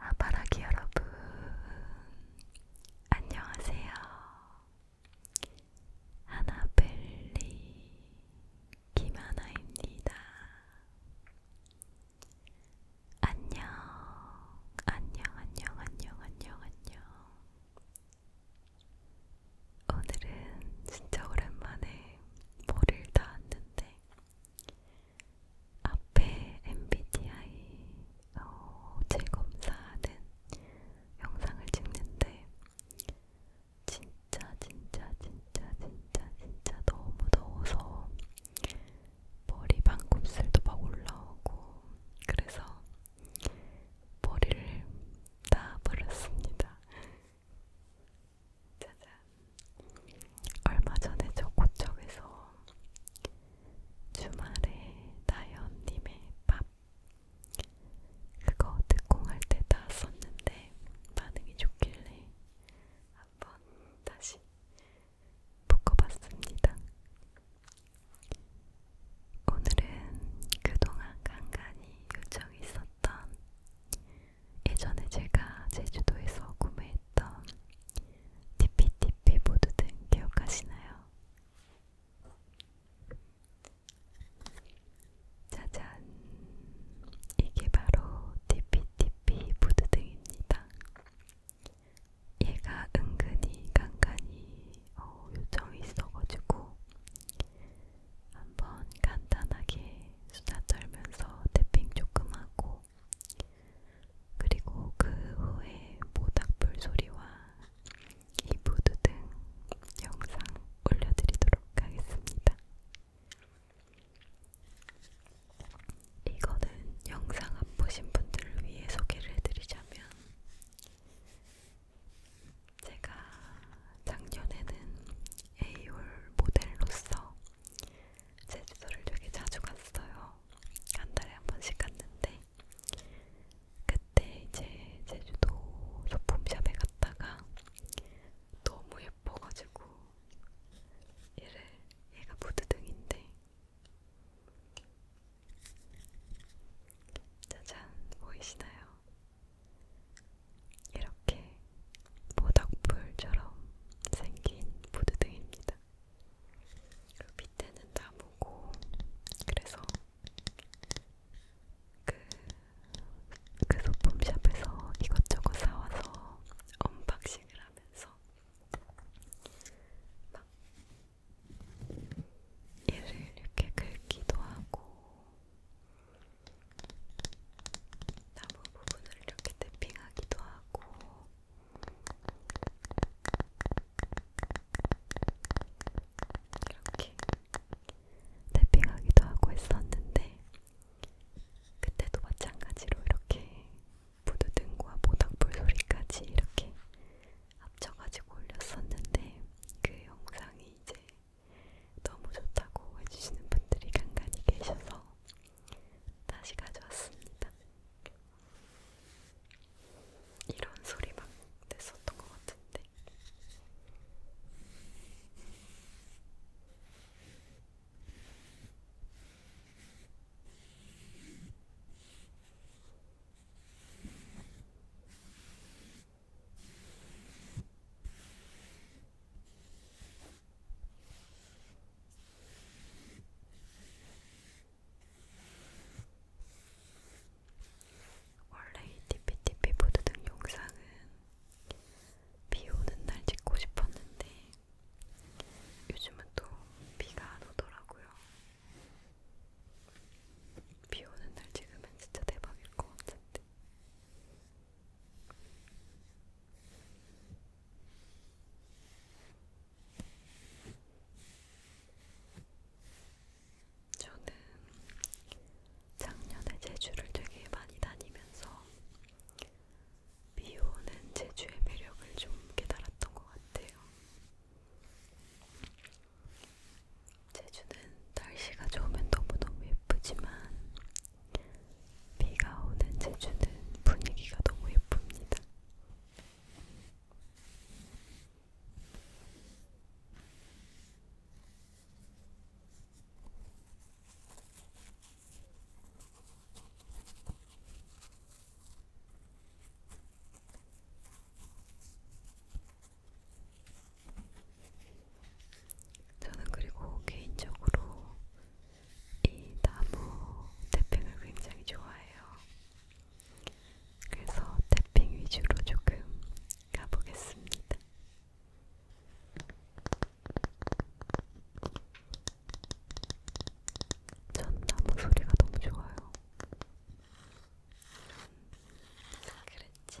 아바라기 여러분, 안녕하세요. 하나벨리 김하나입니다. 안녕, 안녕, 안녕, 안녕, 안녕, 안녕. 오늘은 진짜 오랜만에 머리를 닿았는데 앞에 MBTI 어, 질검사하는 영상을 찍는데 진짜 진짜 진짜 진짜 진짜 너무 더워서 머리 반곱슬도 막 올라오고 그래서 머리를 다 버렸습니다. 짜잔 얼마 전에 저 고척에서 주말에 다현님의 밥 그거 듣공할 때다 썼는데 반응이 좋길래 한번 다시 묶어봤습니다. 오늘은 그동안 간간히 요청이 있었던 예전에 제가 제주도에서 구매했던 티피티피 보드등 기억하시나요? 짜잔! 이게 바로 티피티피 보드등입니다. 얘가 은근히 간간히 어, 요청이 있어가지고 한번 간단하게 수다 떨면서 태핑 조금 하고 그리고 그 후에 모닥불 소리와 이브드 등 영상 올려드리도록 하겠습니다. 이거는 영상 안 보신 분들을 위해 소개를 해드리자면 제가 작년에는 에이올 모델로서 제주도를 되게 자주 갔어요. 한 달에 한 번씩 갔는데 그때 이제 제주도 소품샵에 갔다가 너무 예뻐가지고 얘를 얘가 무드등인데 짜잔 보이시나요? 이렇게 모닥불처럼 생긴 보드등입니다. 그리고 밑에는 나무고 그래서 그, 그 소품샵에서 이것저것 사와서 언박싱을 하면서 막 얘를 이렇게 긁기도 하고 나무 부분을 이렇게 탭핑하기도 하고 이렇게 탭핑하기도 하고 했었는데 그때도 마찬가지로 이렇게 부드등과 모닥불 소리까지 이렇게 합쳐가지고 올렸었는데 그 영상이 이제 너무 좋다고 해주시는 분들이 간간히 계셔서 다시 가져왔습니다. 이런 소리 막 냈었던 것 같은데. 원래 이 티피티피 보드 등 영상은 비 오는 날 찍고 싶었는데 요즘은 또 비가 안 오더라고요. 비 오는 날 찍으면 진짜 대박일 것 같은데. 저는 작년에 제주를 되게 많이 다니면서 비 오는 제주의 매력을 좀 깨달았던 것 같아요. 제주는 날씨가 좋으면 너무너무 예쁘지만 비가 오는 제주는 분위기가 너무 예쁩니다. 저는 그리고 개인적으로 이 나무 태핑을 굉장히 좋아해요. 그래서 태핑 위주로 조금 가보겠습니다. 전 나무 소리가 너무 좋아요. 음, 그랬지.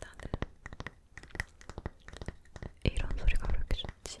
나는 이런 소리가 그렇게 좋지.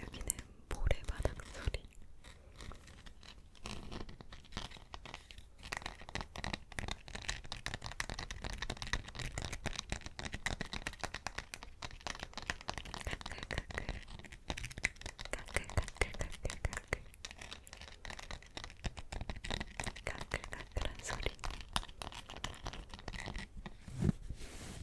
여기는 모래바닥 소리. 가글가글한 소리.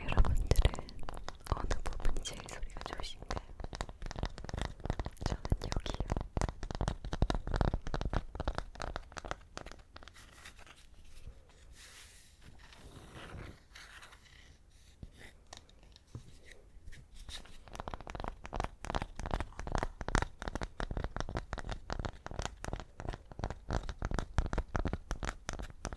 여러분들은 어느 부분이 제일 소리가 좋으신가요? 저는 여기요.